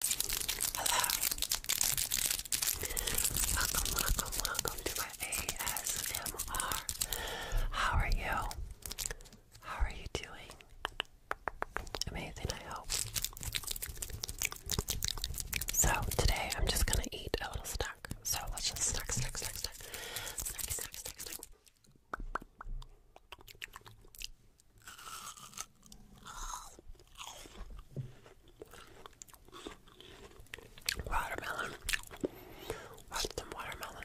Hello. Welcome, welcome, welcome to my ASMR. How are you? How are you doing? Amazing, I hope. So today I'm just gonna eat a little snack. So let's just snack, snack, snack, snack, snack, snack, snack, Watermelon. What's the watermelon?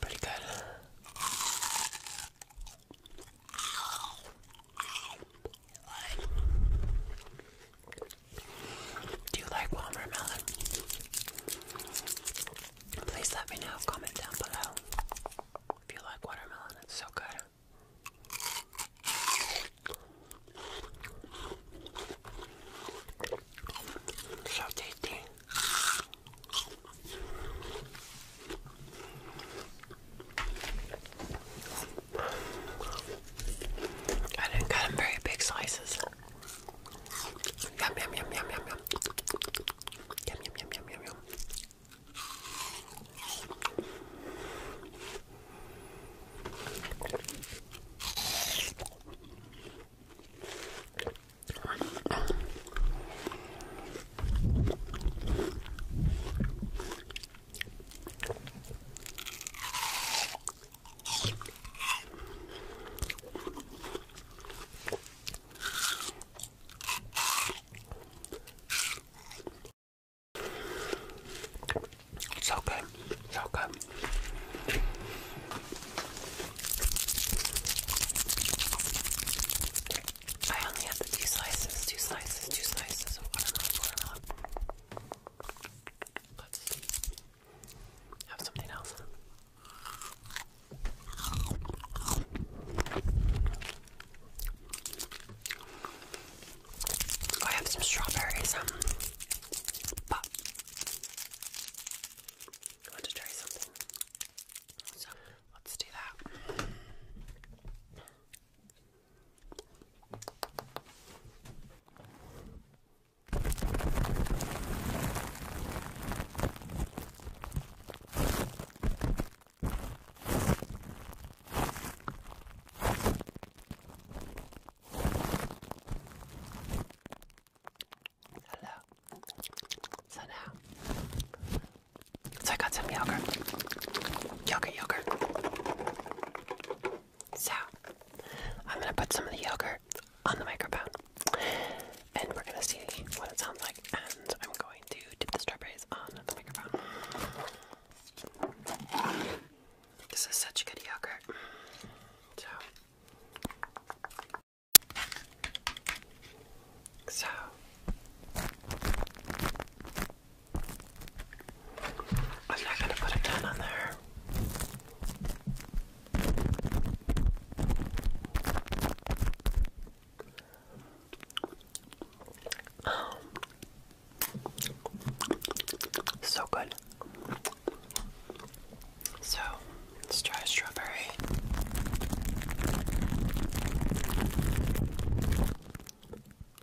Pretty good. Do you like watermelon? Please let me know. Comment down below if you like watermelon. It's so good. So tasty. I didn't cut them very big slices. Yum, yum, yum, yum, yum, yum. Yum, yum, yum, yum, yum, yum. So good, so good. I only have two slices, two slices, two slices of watermelon. Let's Have something else. Oh, I have some strawberries, um, but I want to try something. So let's do that. Hello. So now, so I got some yogurt, yogurt, yogurt. So, I'm gonna put some of the yogurt on the microphone and we're gonna see what it sounds like. And I'm going to dip the strawberries on the microphone. This is such good yogurt. So, I'm not going to put a ton on there. Um, so good. So let's try strawberry.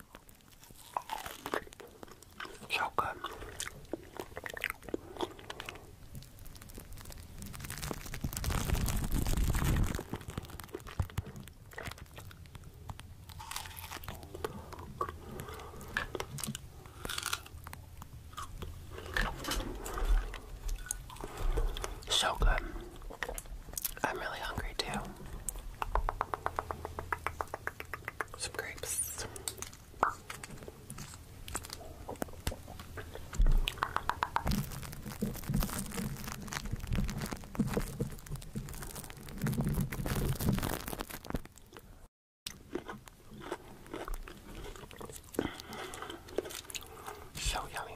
So good. So good. I'm really hungry too. Some grapes. So yummy.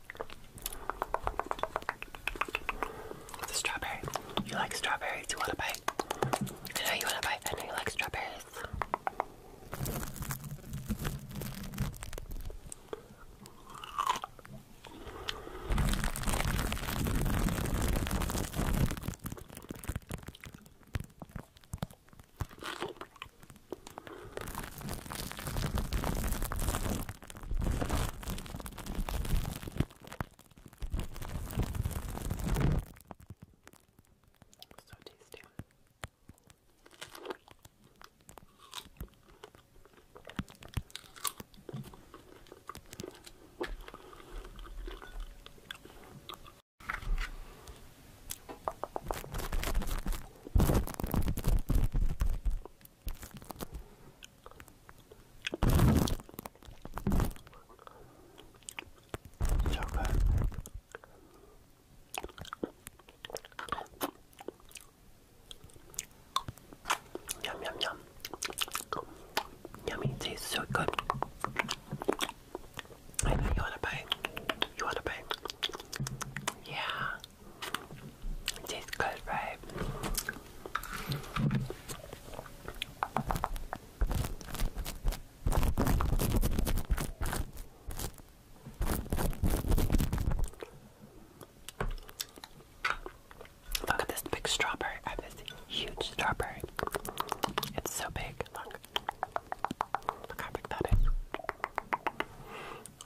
The strawberry. You like strawberries? You want to bite? I know you want to bite. I know you like strawberries. So tasty. Yum yum yum. Yummy, tastes so good. you wanna bite. You wanna bite? Yeah. Tastes good, right? Look at this big strawberry. I this huge strawberry. It's so big. Look how big that is.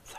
So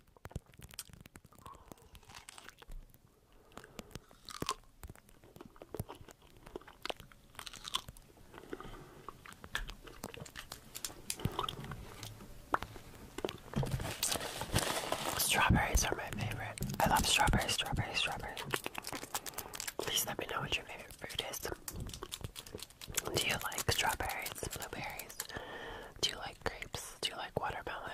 Strawberries are my favorite. I love strawberries, strawberries, strawberries. Please let me know what your favorite fruit is. Do you like strawberries, blueberries? Do you like grapes? Do you like watermelon?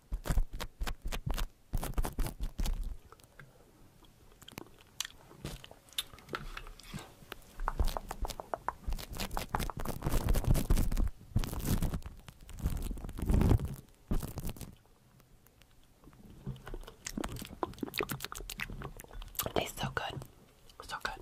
It tastes so good. So good.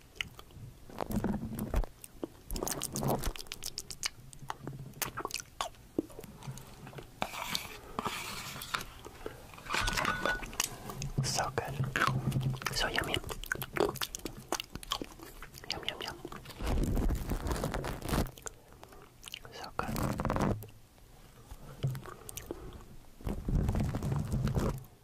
So good. So yummy. Yum, yum, yum. So good.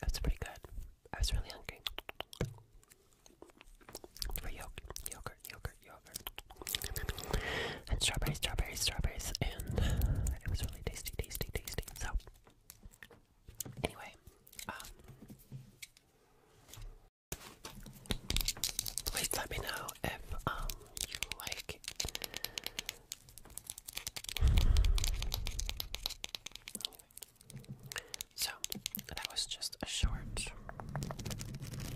That's pretty good. I was really hungry. For yogurt, yogurt, yogurt yogurt, and strawberries, strawberries, strawberries, and it was really tasty, tasty, tasty. So, anyway, um, please let me know if um you like. So that was just a short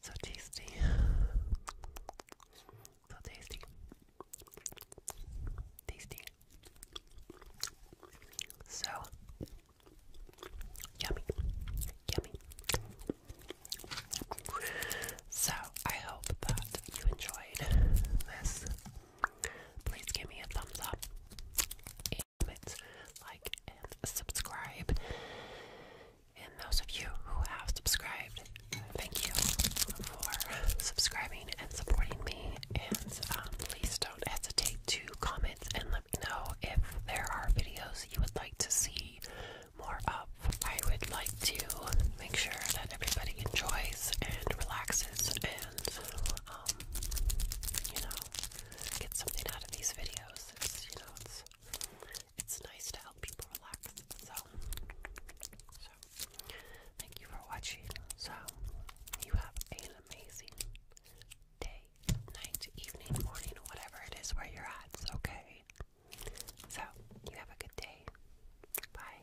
So tasty. So tasty. Tasty. So yummy. Yummy. So I hope that you enjoyed this. Please give me a thumbs up, and like, and subscribe. And those of you who have subscribed, thank you for subscribing and supporting me. And um, please don't hesitate to comment and let me know if there are videos you would like to see more of. I would like to make sure that everybody enjoys and relaxes and, um, you know, get something out of these videos. you know, it's nice to help people relax. So, thank you for watching. So, you have an amazing day, night, evening, morning, whatever it is where you're at. Okay. So, you have a good day. Bye.